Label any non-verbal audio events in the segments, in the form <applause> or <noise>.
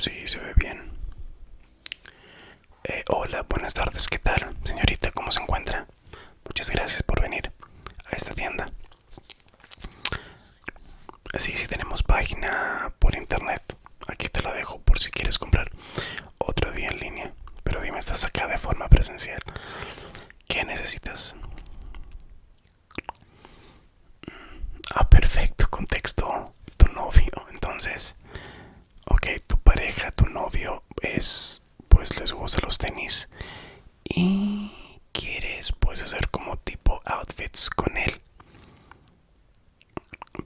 Sí, se ve bien. Eh, hola, buenas tardes, ¿qué tal? Señorita, ¿cómo se encuentra? Muchas gracias por venir a esta tienda. Sí, sí tenemos página por internet. Aquí te la dejo por si quieres comprar otro día en línea. Pero dime, estás acá de forma presencial. ¿Qué necesitas? Ah, perfecto, contexto. Tu novio, entonces. Ok, tu pareja, tu novio es, pues les gusta los tenis. Y quieres, pues, hacer como tipo outfits con él.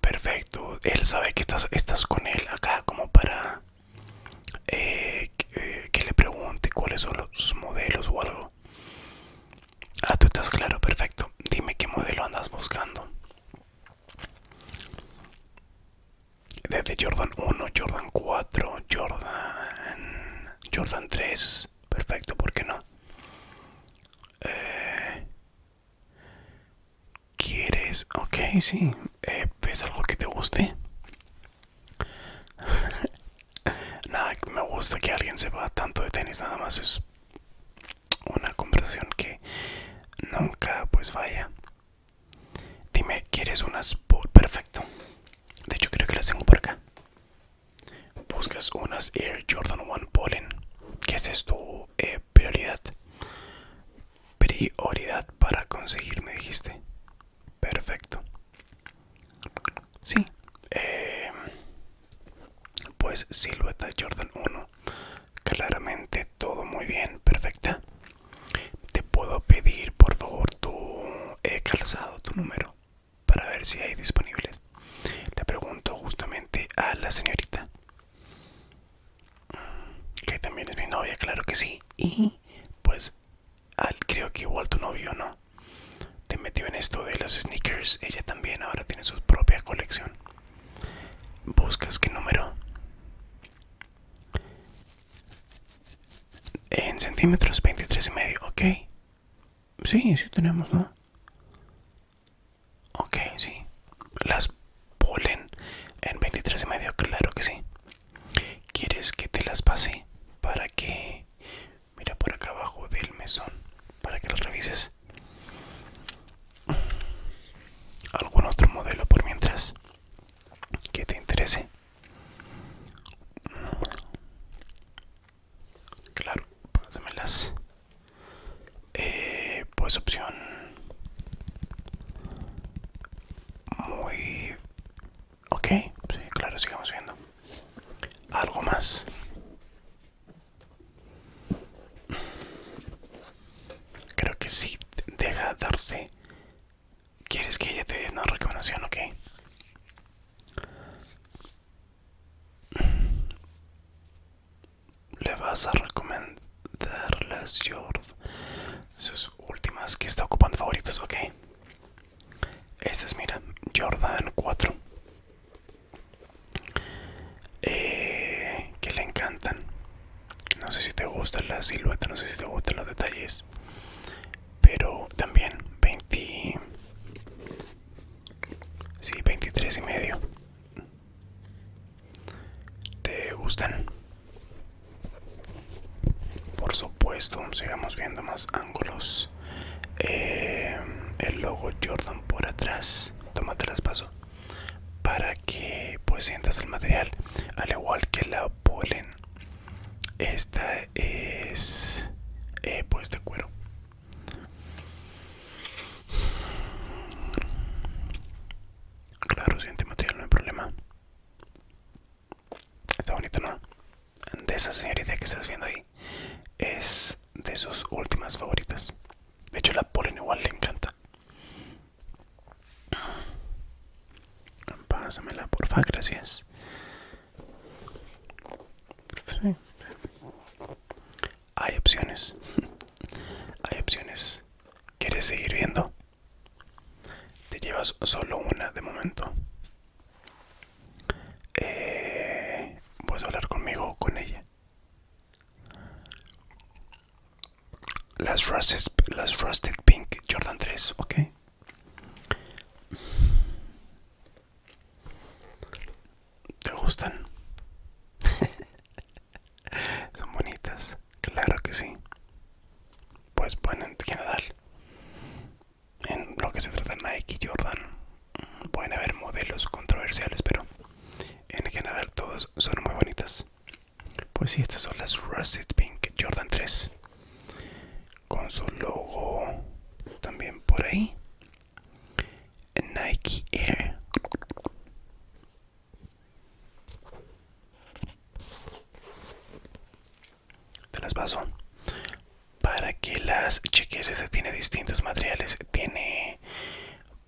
Perfecto, él sabe que estás, estás con él acá como para eh, eh, que, le pregunte cuáles son los modelos o algo. Ah, tú estás claro, perfecto. Dime qué modelo andas buscando. Desde Jordan 1, Jordan 4, Jordan, Jordan 3. Perfecto, porque no? Eh, ¿Quieres? Ok, sí. Eh, ¿Ves algo que te guste? <laughs> nada, me gusta que alguien sepa tanto de tenis. Nada más es una conversación que nunca pues falla. Dime, ¿quieres unas? Perfecto. De hecho, creo que las tengo por acá. Buscas unas Air Jordan One Pollen. ¿Qué es esto? Eh, prioridad. Prioridad para conseguir, me dijiste. Perfecto. Sí. Em, pues silueta Jordan 1. Claramente todo muy bien. Perfecta. Te puedo pedir por favor tu eh, calzado, tu número, para ver si hay disponibles. Le pregunto justamente a la señorita. Que también es mi novia, claro que sí. Y pues creo que igual tu novio no. Te metió en esto de las sneakers. Ella también ahora tiene su propia colección. ¿Buscas qué número? En centímetros, 23 y medio, ok. Sí, sí tenemos, ¿no? Ok, sí. Las ponen en 23 y medio, claro que sí. ¿Quieres que te las pase para que... Mira por acá abajo del mesón, para que las revises? ¿Algún otro modelo por mientras que te interese? Claro, pásamelas. Eh, pues opción muy ok sí claro sigamos viendo algo más creo que sí deja darte quieres que ella te dé una recomendación ok le vas a recomendar las Jord sus últimas que está ocupando favoritas ok estas mira Jordan 4 eh, que le encantan no sé si te gusta la silueta no sé si te gustan los detalles pero también 20 23 y medio te gustan por supuesto sigamos viendo más ángulos eh, el logo jordan por atrás toma traspaso para que pues sientas el material al igual que la polen esta es eh, pues de cuero Claro, si material no hay problema. Está bonito, ¿no? De esa señorita que estás viendo ahí es de sus últimas favoritas. De hecho, la polen igual le encanta. Pásamela, porfa, gracias hay opciones. <laughs> hay opciones. ¿Quieres seguir viendo? Te llevas solo una de momento. a eh, hablar conmigo o con ella? Las Rusted, las Rusted Pink Jordan 3, ok. ¿Te gustan? <laughs> Son bonitas, claro que sí. Pues bueno, en general, en lo que se trata de Nike y Jordan, mm, pueden haber modelos controversiales, pero en general todos son muy bonitas. Pues sí, estas son las Rusted Pink Jordan 3 con su logo también por ahí Nike Air. Te las paso para que las cheques. Este tiene distintos materiales. Tiene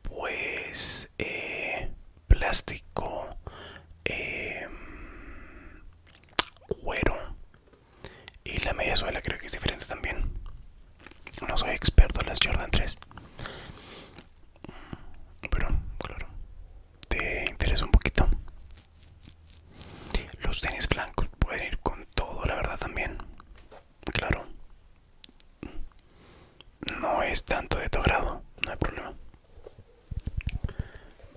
pues eh, plástico, em, cuero y la media suela creo que es diferente también. No soy experto en las Jordan 3. Pero, claro, te interesa un poquito. Los tenis blancos pueden ir con todo, la verdad también. Claro. No es tanto de tu grado, no hay problema.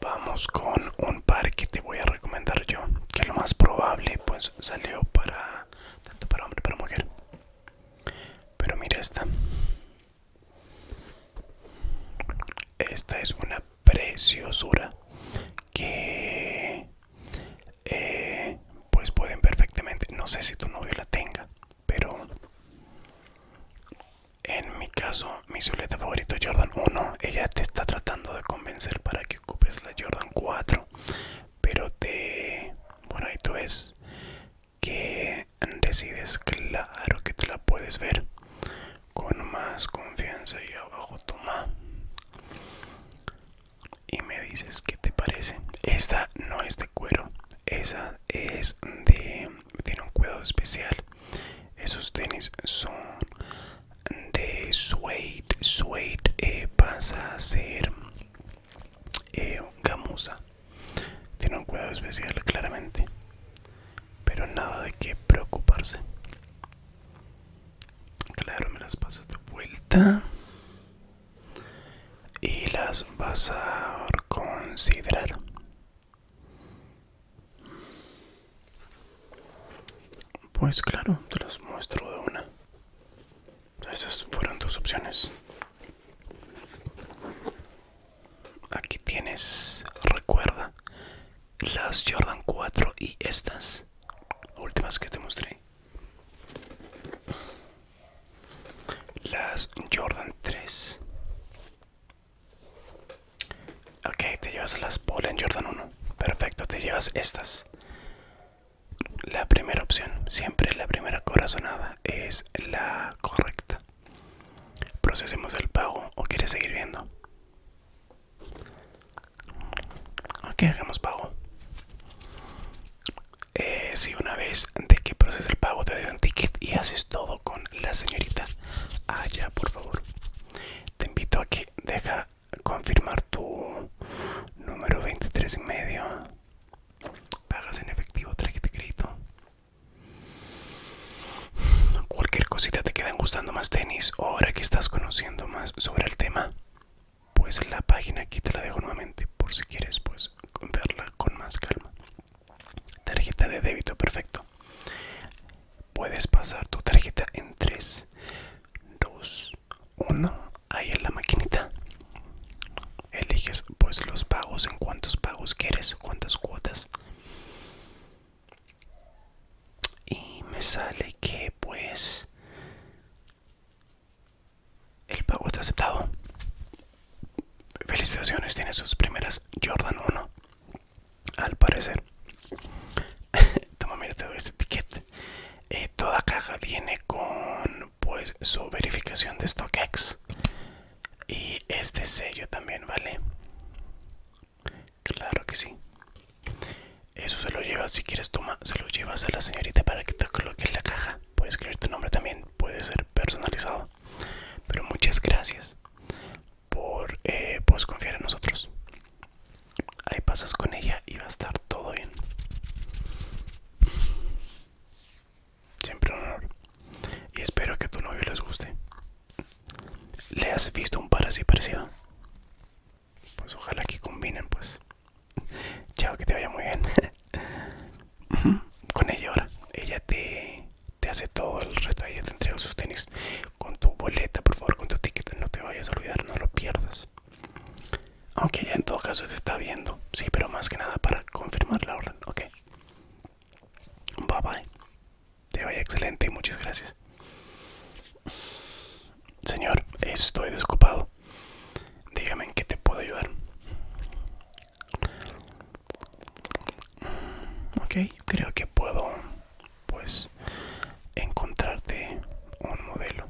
Vamos con un par que te voy a recomendar yo, que lo más probable pues salió para tanto para hombre para mujer. Pero mira esta. Esta es una preciosura que eh, pues pueden perfectamente, no sé si tu novio la tenga, pero en mi caso mi silueta favorito Jordan 1, ella te está tratando de convencer para que ocupes la Jordan 4, pero te bueno ahí tú ves que decides claro que te la puedes ver con más confianza y abajo toma y me dices qué te parece esta no es de cuero esa es de tiene un cuidado especial esos tenis son de suede suede eh, pasa a ser eh, gamusa tiene un cuidado especial claramente pero nada de qué preocuparse claro me las pasas de vuelta y las vas a considerar pues claro te las muestro de una esas fueron tus opciones. Aquí tienes, recuerda, las Jordan 4 y estas últimas que te mostré. Las Jordan 3. Ok, te llevas las Polen Jordan 1. Perfecto, te llevas estas la primera opción, siempre la primera corazonada es la correcta. Procesemos el pago o quieres seguir viendo. Ok, hagamos pago. Eh, si una vez de que proceses el pago te doy un ticket y haces todo con la señorita allá, ah, por favor. Te invito a que deja confirmar tu número 23 y medio. Pagas en efectivo, tarjeta de crédito. Cualquier cosita te quedan gustando más tenis o ahora que estás conociendo más sobre el tema. Pues la página aquí te la dejo nuevamente por si quieres pues verla con más calma. Tarjeta de débito, perfecto. Puedes pasar tu tarjeta en 3, 2, uno ahí en la maquinita eliges pues los pagos en cuántos pagos quieres cuántas cuotas y me sale que pues el pago está aceptado felicitaciones tiene sus primeras jordan 1 al parecer <laughs> toma mira te este ticket eh, toda caja viene con pues su verificación de StockX y este sello también vale claro que sí eso se lo llevas si quieres toma se lo llevas a la señorita para que te coloque en la caja puedes escribir tu nombre también puede ser personalizado pero muchas gracias por eh, pues, confiar en nosotros ahí pasas con ella y va a estar todo bien Siempre un honor. Y espero que a tu novio les guste. ¿Le has visto un par así parecido? Pues ojalá que combinen, pues. Chao, que te vaya muy bien. Con ella ahora. Ella te, hace todo el resto. Ella te entrega sus tenis. Con tu boleta, por favor, con tu ticket. No te vayas a olvidar, no lo pierdas. Aunque ya en todo caso se está viendo. Sí, pero más que nada para confirmar la orden. Ok. Bye bye. Te vaya excelente y muchas gracias. Señor, estoy desocupado. Dígame en qué te puedo ayudar. Ok, creo que puedo, pues, encontrarte un modelo.